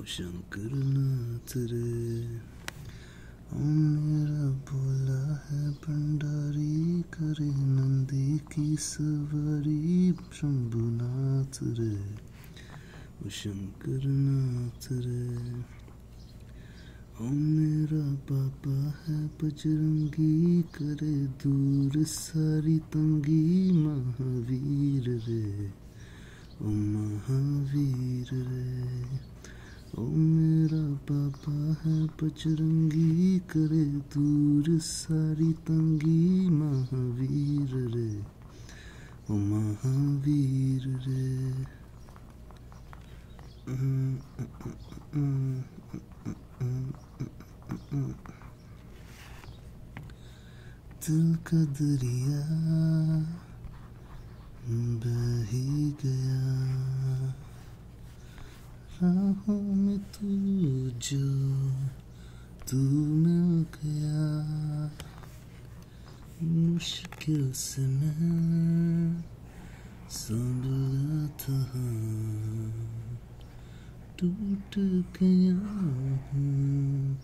ओ शंकर नाथ रे मेरा बोला है भंडारी करे नंदी की सवारी शंभुनाथ रे ओ शंकर नाथ रे ओ मेरा बाबा है बजरंगी करे दूर सारी तंगी महावीर रे ओ महावीर रे ओ मेरा पापा है पचरंगी करे दूर सारी तंगी महावीर रे ओ महावीर रे दिल का दरिया बह गया राहों में तू जो तू मिल गया मुश्किल से मैं था टूट गया हूँ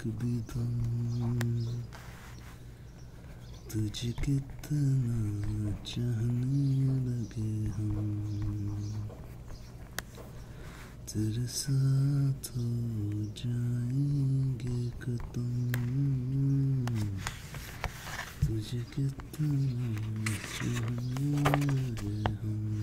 कदम तुझे कितना चाहने लगे हम तेरे साथ हो जाएंगे तुझे कितना चाहने लगे हम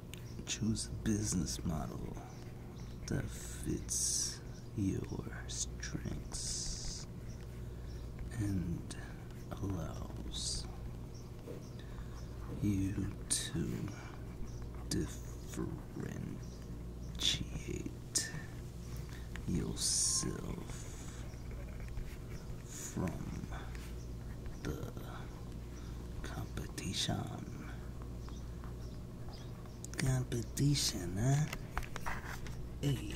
choose a business model that fits your strengths and allows you to differentiate yourself from the competition competition. Competition, huh? Hey.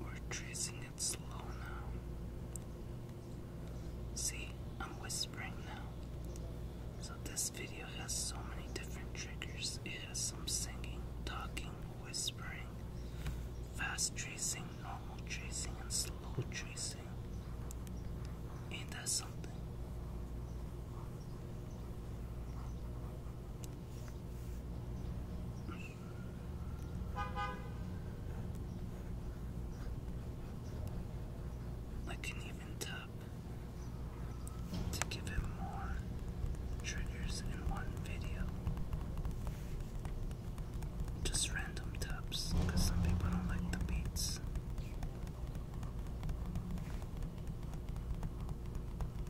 We're tracing it slow now. See, I'm whispering now. So, this video has so many different triggers. It has some singing, talking, whispering, fast tracing, normal tracing, and slow tracing. Ain't that something? I can even tap to give him more triggers in one video. Just random taps, because some people don't like the beats.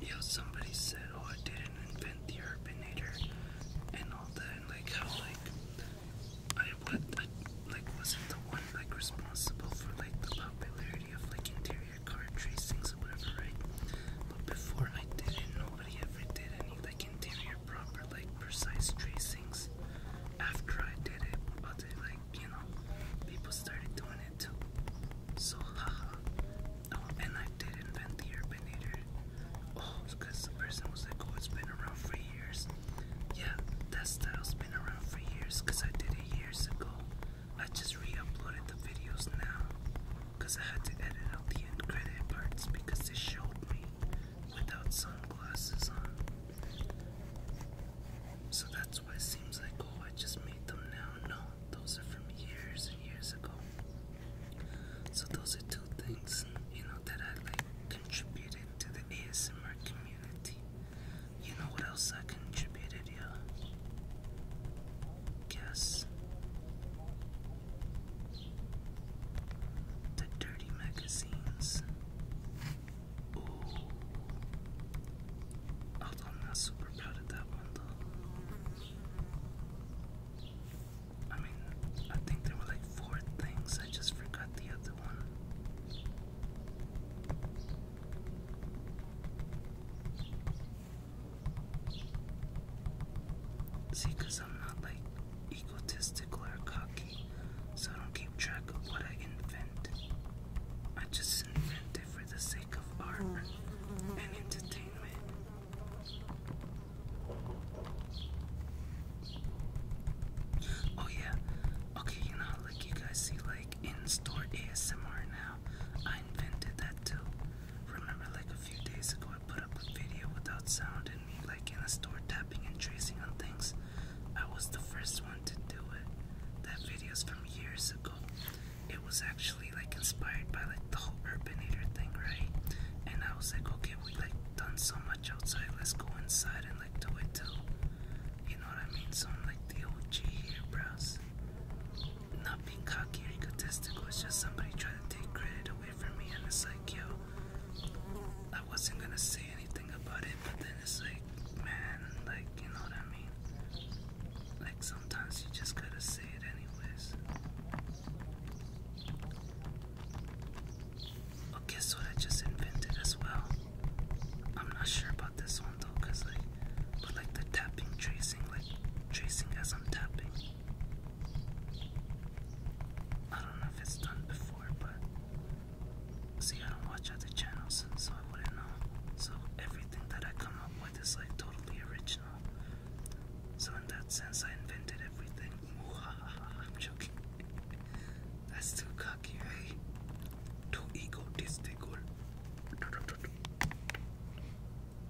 You somebody said, "Oh, I didn't invent the urbanator," and all that, like how, like, I what, like, wasn't the one like responsible for like the popularity of like interior car tracings or whatever, right? But before I did it, nobody ever did any like interior proper, like precise tracings. After I did it, other like you know, people started doing it too. So haha. Oh, and I did invent the urbanator. Oh, because the person was like, oh, it's been around for years. Yeah, that style's been around for years, cause I did it years ago. I just re-uploaded the videos now, cause I had to edit out the end credit parts because they showed me without sunglasses on. So that's why it seems like, oh, I just made them now. No, those are from years and years ago. So those are two things, you know, that I like contributed to the ASMR community. You know what else I contributed, yeah? Guess. The dirty magazines. Ooh. Although I'm not super proud of that one though. I mean, I think there were like four things, I just forgot the other one. See, because I'm not like egotistical or cocky, so I don't keep track of what I invent. I just invent it for the sake of art and entertainment. Oh, yeah. Okay, you know, like you guys see, like in store ASMR now. I invented that too. Remember, like a few days ago, I put up a video without sound and like in a store tapping and tracing on things. I was the first one to do it. That video is from years ago. It was actually like inspired by like the whole urbanator thing, right? And I was like, okay, we like done so much outside, let's go inside and like do it too. You know what I mean? So I'm like the OG here, bros not being cocky or egotistical. It's just somebody trying to take credit away from me, and it's like, yo, I wasn't gonna say anything about it, but then it's like, man, like, you know what I mean? Like, sometimes you just gotta say it anyways. Okay, so I just invented as well. I'm not sure about this one though, cause like, but like the tapping, tracing, like tracing as I'm tapping. I don't know if it's done before, but see, I don't watch other channels, so I wouldn't know. So everything that I come up with is like totally original. So in that sense, I invented everything. I'm joking. That's too cocky, right? Too egotistical.